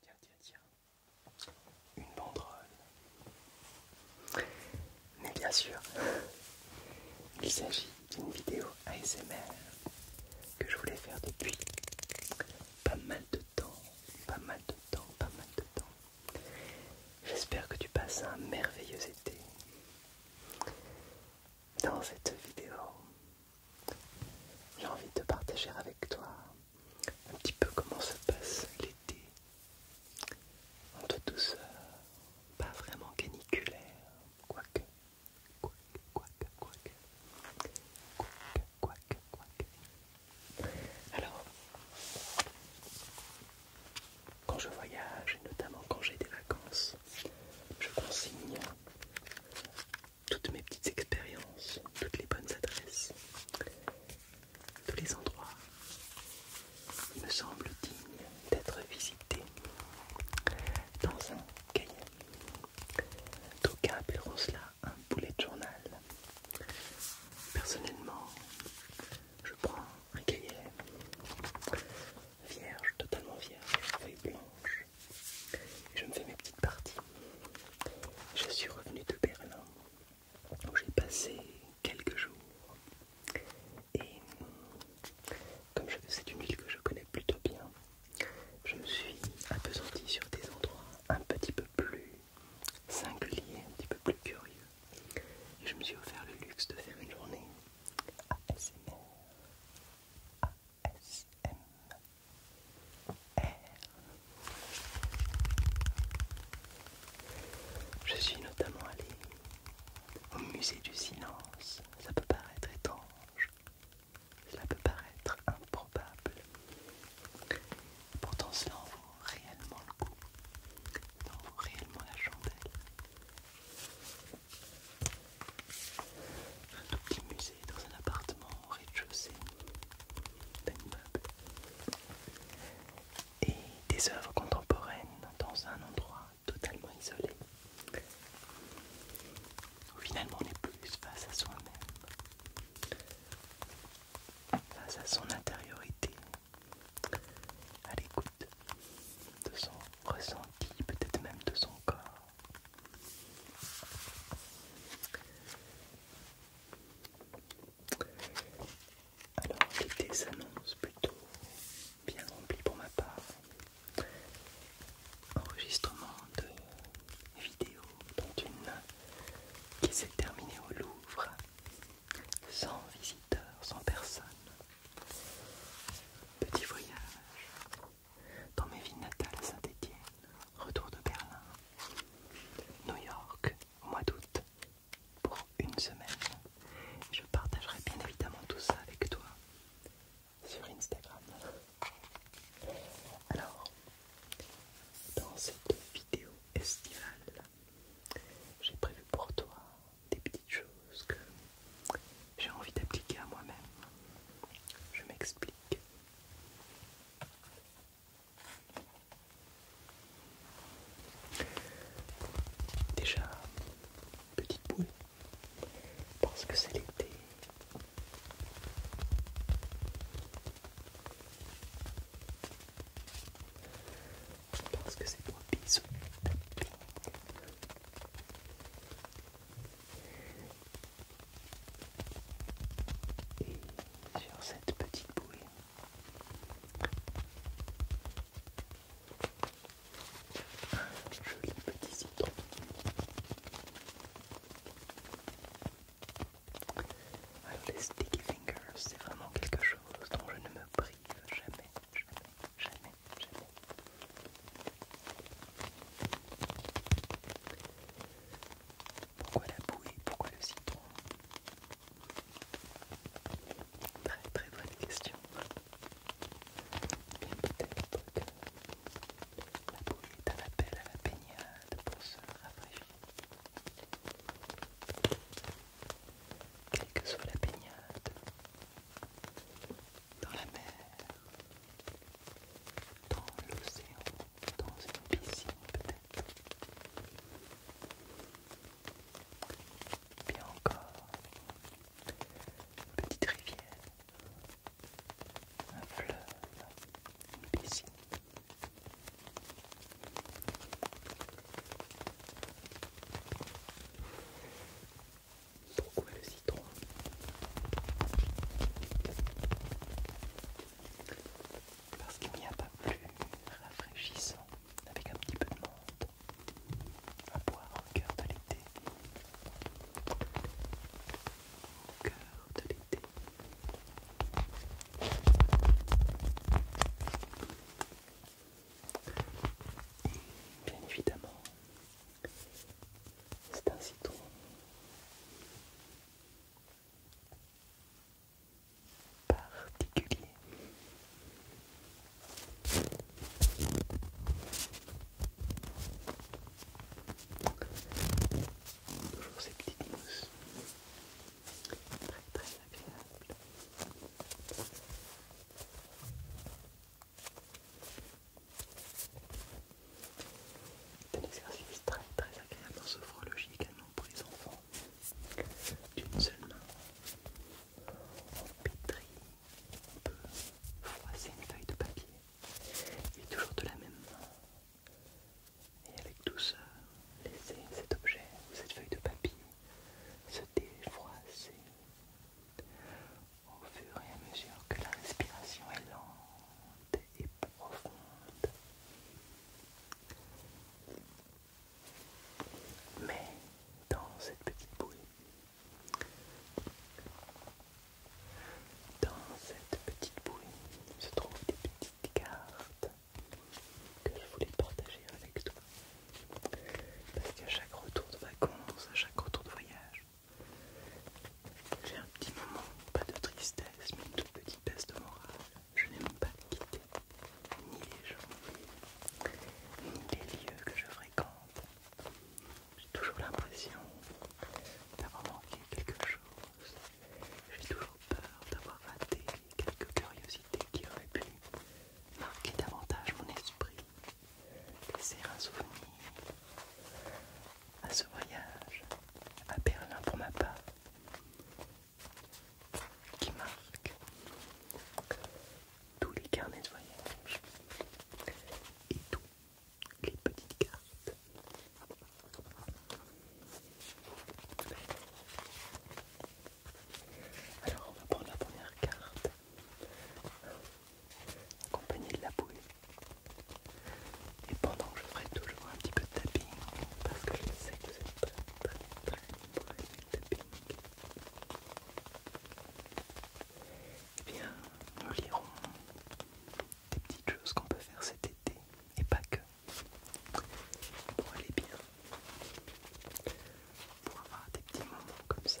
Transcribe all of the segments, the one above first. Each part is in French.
Tiens, tiens, tiens. Une banderole. Mais bien sûr, il s'agit d'une vidéo ASMR que je voulais faire depuis pas mal de temps, pas mal de temps, pas mal de temps. J'espère que tu passes un merveilleux été. Dans cette vidéo, j'ai envie de partager avec toi un petit peu comment se passe l'été en toute douceur, pas vraiment caniculaire, quoique, quoique, quoique, quoique, quoique, quoique, quoique. Alors, quand je voyage et notamment quand j'ai des vacances, je consigne toutes mes petites expériences, toutes les bonnes adresses, tous les endroits qui me semblent dignes d'être visités dans un cahier. D'aucuns appelleront cela un boulet de journal. Personnellement, je prends un cahier vierge, totalement vierge, feuille blanche. je me fais mes petites parties. Je suis revenu de Berlin où j'ai passé quelques jours. Et comme c'est une ville que je connais plutôt bien, je me suis apesanti sur des endroits un petit peu plus singuliers, un petit peu plus curieux. Et je me suis offert le luxe de faire une journée ASMR ASMR Je suis notamment allée au musée du silence. Ça peut paraître étrange, cela peut paraître improbable. Pourtant cela en vaut réellement le coup, cela en vaut réellement la chandelle. Un tout petit musée dans un appartement au rez-de-chaussée d'un Et des œuvres contemporaines dans un endroit totalement isolé. Où finalement on est plus face à soi-même, face à son intériorité, à l'écoute de son ressenti, peut-être même de son corps. Alors l'été s'annonce plutôt bien rempli pour ma part. Enregistrement de vidéos, dont une qui s'est terminée au Louvre, sans visiteurs, sans personne. Petit voyage dans mes villes natales à saint etienne retour de Berlin, New York mois d'août pour une semaine. Je partagerai bien évidemment tout ça avec toi sur Instagram. Alors, dans cette vidéo estivale, j'ai prévu pour toi des petites choses que j'ai envie d'appliquer à moi-même. Je m'explique. Déjà, petite boule, parce que c'est l'été. Parce pense que c'est un bisou. Et sur cette petite bouée. Un joli petit citron. Alors ah, les sticky fingers, c'est vraiment quelque chose dont je ne me prive jamais, jamais, jamais. Pourquoi la bouée Pourquoi le citron Très très bonne question. peut-être que la bouée est un appel à la baignade pour se rafraîchir. Quelle que soit la baignade, dans la mer, dans l'océan, dans une piscine peut-être, bien encore une petite rivière, un fleuve, une piscine. Pourquoi le citron Parce qu'il n'y a pas plus rafraîchissant avec un petit peu de menthe à boire au cœur de l'été. Au cœur de l'été. Bien évidemment, c'est un citron. Particulier. Toujours ces petites mousses. Très très agréable. C'est un exercice très très agréable en sophrologie également pour les enfants. D'une seule main, on pétrit, on peut froisser une feuille de papier, et toujours de la même main, et avec douceur, laisser cet objet ou cette feuille de papier se défroisser au fur et à mesure que la respiration est lente et profonde. Mais dans cette petite bouée, dans cette petite bouée se trouvent des petites cartes que je voulais partager avec toi. Parce qu'à chaque retour de vacances, à chaque retour de voyage, j'ai un petit moment, pas de tristesse, mais une toute petite baisse de morale. Je n'aime pas quitter ni les gens, ni les lieux que je fréquente. J'ai toujours l'impression d'avoir manqué quelque chose. J'ai toujours peur d'avoir raté quelques curiosités qui auraient pu marquer davantage mon esprit. C'est un souvenir à ce voyage à Berlin pour ma part qui marque tous les carnets de voyage et toutes les petites cartes. Alors on va prendre la première carte compagnie de la bouée. Et pendant que je ferai toujours un petit peu de tapping, parce que je sais que c'est très très très eh bien nous lirons des petites choses qu'on peut faire cet été, et pas que, pour aller bien, pour avoir des petits moments comme ça,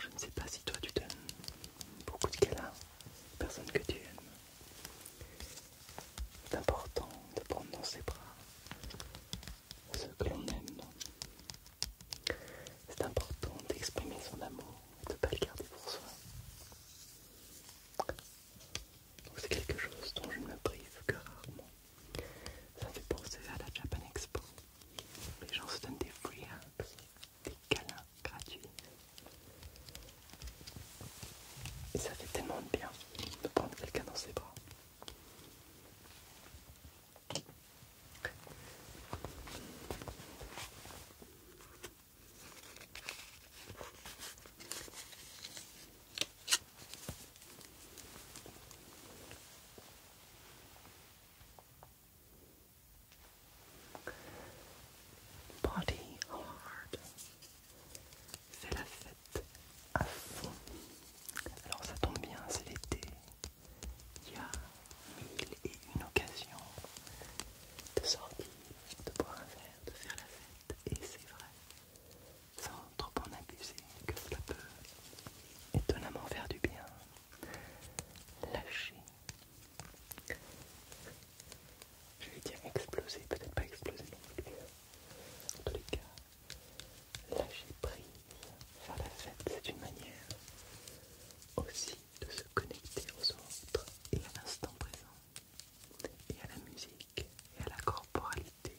Je ne sais pas si toi tu donnes beaucoup de câlins Personne que tu aimes. C'est important de prendre dans ses bras ceux que l'on aime. C'est important d'exprimer son amour, de ne pas le garder pour soi. C'est quelque chose dont je ne me prive que rarement. Ça fait penser à la Japan Expo. Les gens se donnent des free des câlins gratuits. Et ça fait tellement de bien de prendre quelqu'un dans ses bras. Body hard. C'est la fête à fond. Alors ça tombe bien, c'est l'été. Il y a mille et une occasions de sortir, de boire un verre, de faire la fête. Et c'est vrai, sans trop en abuser, que cela peut étonnamment faire du bien lâcher. Je vais dire exploser, peut-être pas exploser non En tous les cas, lâcher prise, faire la fête, c'est une manière aussi de se connecter aux autres et à l'instant présent, et à la musique, et à la corporalité.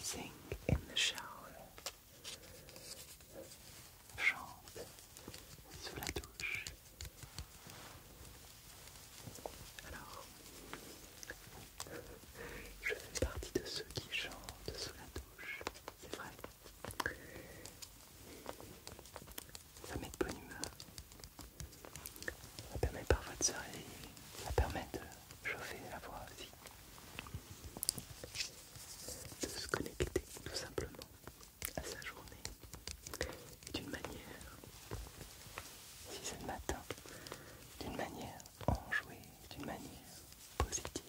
Sing in the shower. Chante sous la douche. Alors, je fais partie de ceux qui chantent sous la douche, c'est vrai. Ça met de bonne humeur. Ça permet parfois de se réveiller. Ça permet de chauffer la voix aussi. De se connecter tout simplement à sa journée. D'une manière, si c'est le matin, d'une manière enjouée, d'une manière positive.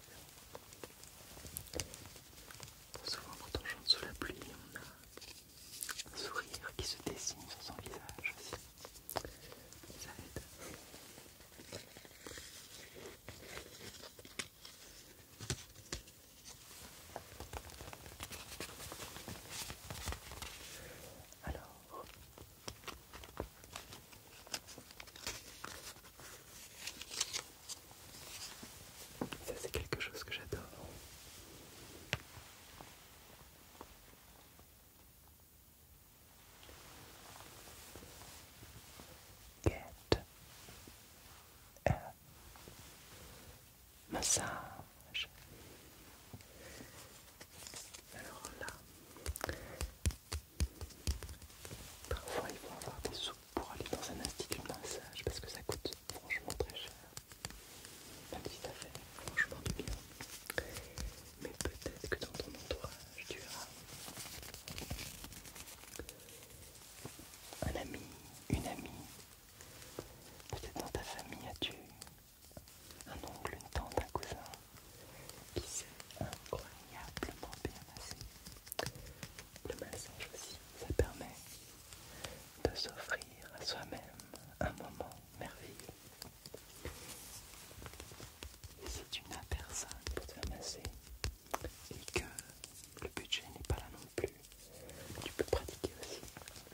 Souvent quand on chante sous la pluie, on a un sourire qui se dessine sur son visage aussi. Ça aide. Alors, ça c'est quelque chose que j'adore. Get a massage. Alors là, Parfois, il faut avoir des sous pour aller dans un institut de massage parce que ça coûte franchement très cher. Même si ça fait franchement du bien. Mais peut-être que dans ton entourage, tu as un ami, une amie. Peut-être dans ta famille, as-tu un oncle, une tante, un cousin qui s'est incroyablement bien massé le massage aussi, ça permet de s'offrir à soi-même un moment merveilleux. si tu n'as personne pour te masser et que le budget n'est pas là non plus, tu peux pratiquer aussi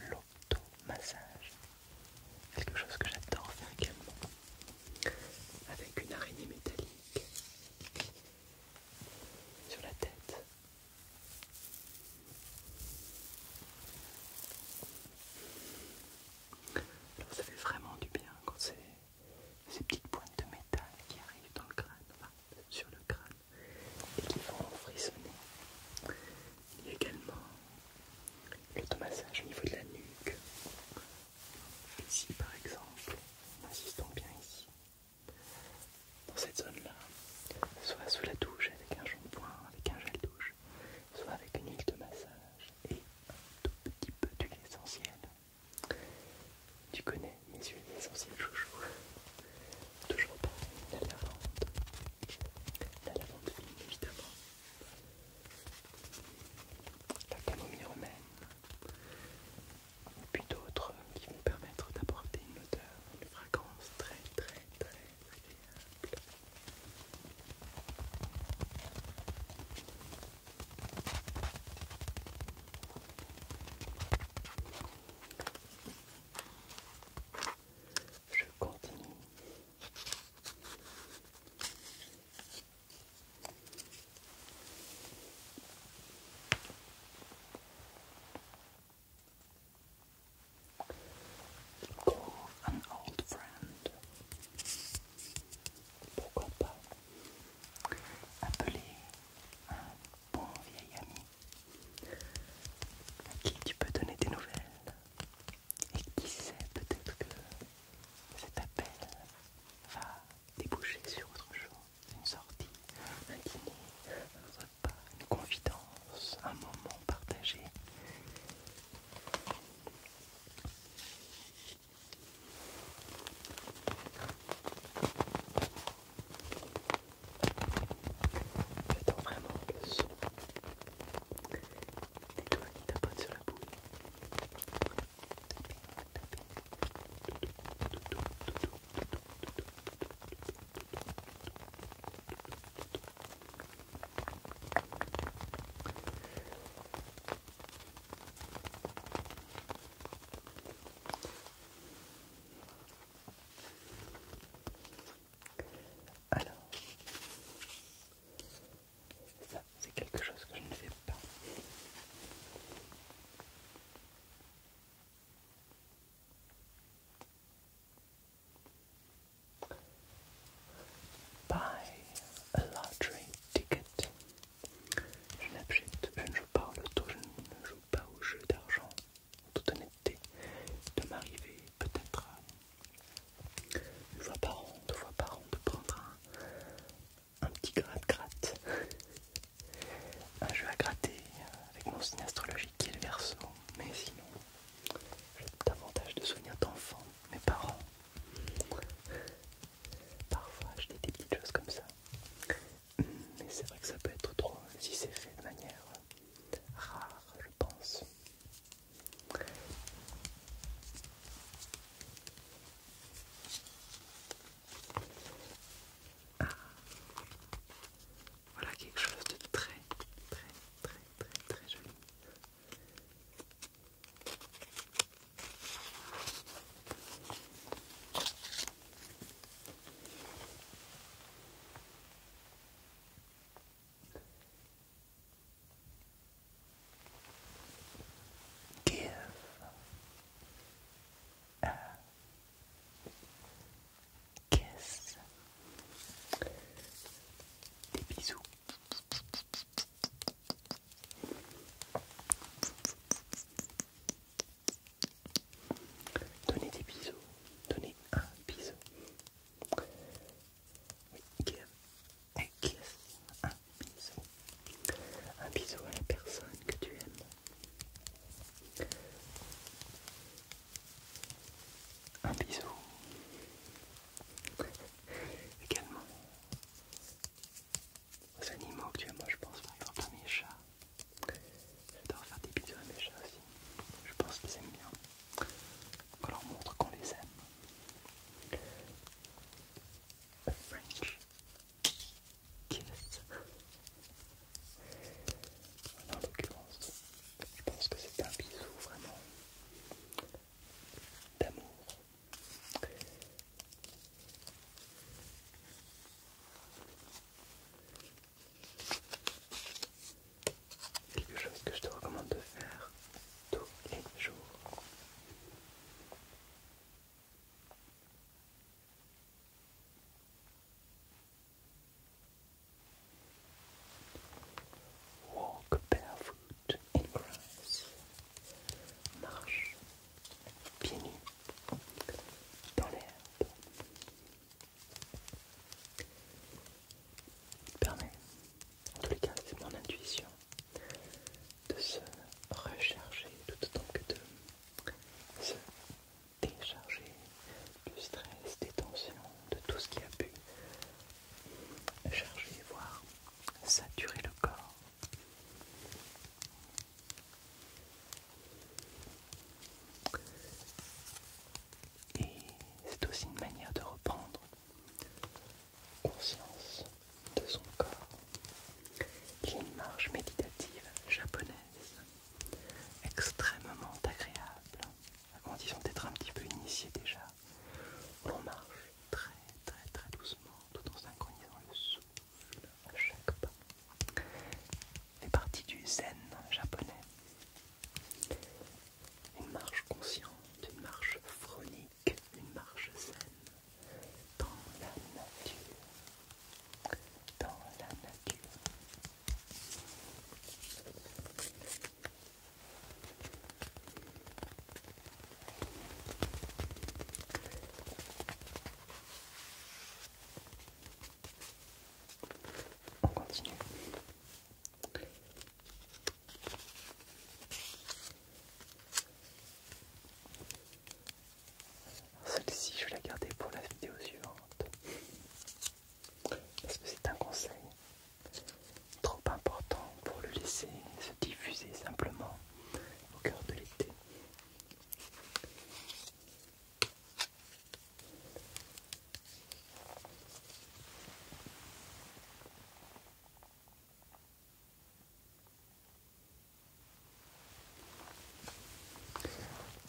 l'auto-massage. Quelque chose que j'adore faire également. Avec une araignée métallique sur la tête. ça fait vraiment du bien quand c'est ces petites pointes de métal qui arrivent dans le crâne, sur le crâne, et qui vont frissonner. Il y a également l'automassage au niveau de la nuque, Ici par exemple, insistons bien ici, dans cette zone-là, soit sous la douche avec un point, avec un gel douche, soit avec une huile de massage et un tout petit peu d'huile essentielle. Tu connais mes huiles essentielles chouchou. Toujours pareil, la lavande. La lavande fine évidemment. La camomille romaine et puis d'autres qui vont permettre d'apporter une odeur, une fragrance très très très agréable. Je continue Call an old friend. Pourquoi pas appeler un bon vieil ami à qui tu peux donner des nouvelles et qui sait peut-être que cet appel va déboucher sur autre chose une sortie, un dîner, un repas, une confidence, un moment partagé. J'attends vraiment le son des doigts qui sur la boule. Alors, ça c'est quelque chose que je ne fais Buy a lottery ticket. Je ne joue pas au je ne joue pas au jeu d'argent, en toute honnêteté. De m'arriver peut-être une fois par an, deux fois par an, de prendre un, un petit gratte-gratte, un jeu à gratter avec mon signe astrologique qui est le verso, mais sinon j'ai davantage de souvenirs d'enfants, mes parents. Parfois acheter des petites choses comme ça, mais c'est vrai que ça peut être trop si c'est fait de manière rare, je pense. Ah. Voilà quelque chose de très très très très très joli. Give Kiss, euh, Des bisous. Donnez des bisous. Donnez un bisou. Oui, give. Un kiss. Un bisou un bisou à la personne que tu aimes. Un bisou également aux animaux que tu aimes. Moi je pense par exemple à mes chats. J'adore faire des bisous à mes chats aussi. Je pense qu'ils aiment bien. On leur montre qu'on les aime. French en l'occurrence, je pense que c'est un bisou vraiment d'amour. Quelque chose que je te recommande de faire tous les jours. Walk barefoot in grass. Marche pieds nus dans l'herbe. Permet, en tous les cas, c'est mon intuition, de se recharger tout autant que de se décharger du stress, des tensions, de tout ce qui a pu charger, voire saturer le corps. Et c'est aussi une manière de reprendre conscience de son corps il y une marche méditative japonaise extrêmement agréable, à condition d'être un petit peu initié déjà, On marche très très très doucement tout en synchronisant le souffle à chaque pas. Fait partie du zen japonais. Une marche consciente, une marche phronique, une marche zen dans la nature, dans la nature. On continue. Celle-ci, je vais la garder pour la vidéo suivante. Parce que c'est un conseil trop important pour le laisser se diffuser simplement au cœur de l'été.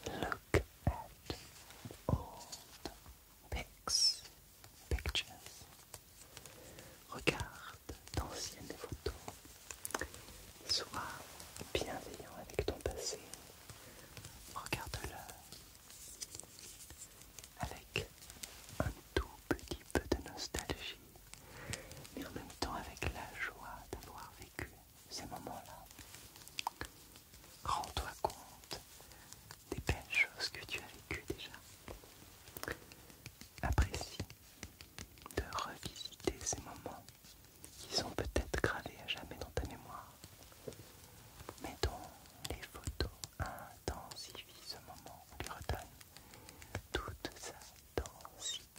Look at old pictures. Regarde d'anciennes photos. Sois bienveillant avec ton passé. Regarde-le avec un tout petit peu de nostalgie, mais en même temps avec la joie d'avoir vécu ces moments-là. Rends-toi compte des belles choses que tu as vécues déjà. Apprécie de revisiter ces moments qui sont peut-être gravés à jamais dans ta mémoire. dont les photos intensifient ce moment, on lui redonne toute sa densité.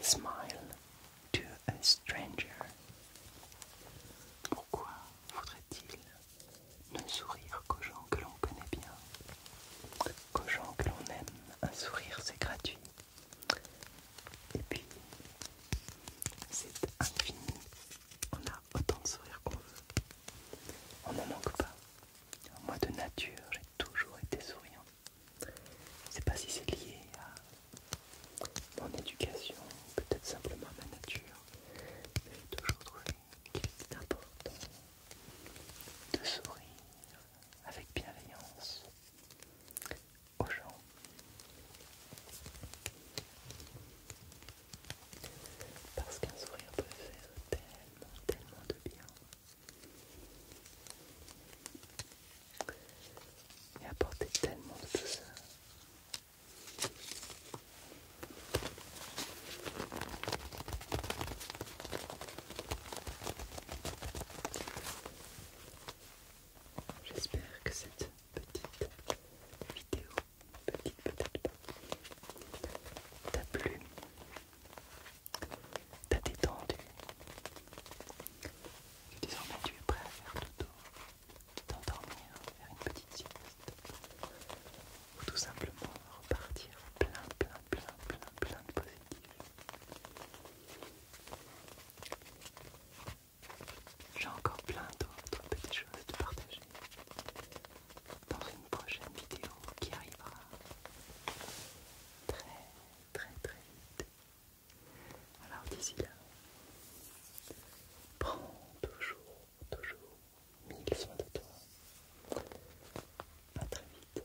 Smile to a stranger. Pourquoi faudrait-il ne sourire qu'aux gens que l'on connaît bien Qu'aux gens que l'on aime, un sourire c'est gratuit. Et puis, c'est infini. On a autant de sourires qu'on veut. On n'en manque pas. Moi, de nature, j'ai toujours été souriant. Je ne sais pas si c'est lié à mon éducation, peut-être simplement à ma nature. Mais j'ai toujours trouvé qu'il était important de sourire avec bienveillance, parce qu'un sourire peut faire tellement, tellement de bien. Et apporter tellement de douceur. J'espère que cette petite vidéo, petite peut-être pas, t'a plu, t'a détendu. disons désormais tu es prêt à faire le tour, t'endormir, faire une petite sieste, ou tout simplement repartir plein, plein, plein, plein, plein de positifs. J'ai encore plein d'autres petites choses à te partager dans une prochaine vidéo qui arrivera très très très vite. Alors d'ici là, prends toujours, toujours mille soins de toi. A très vite.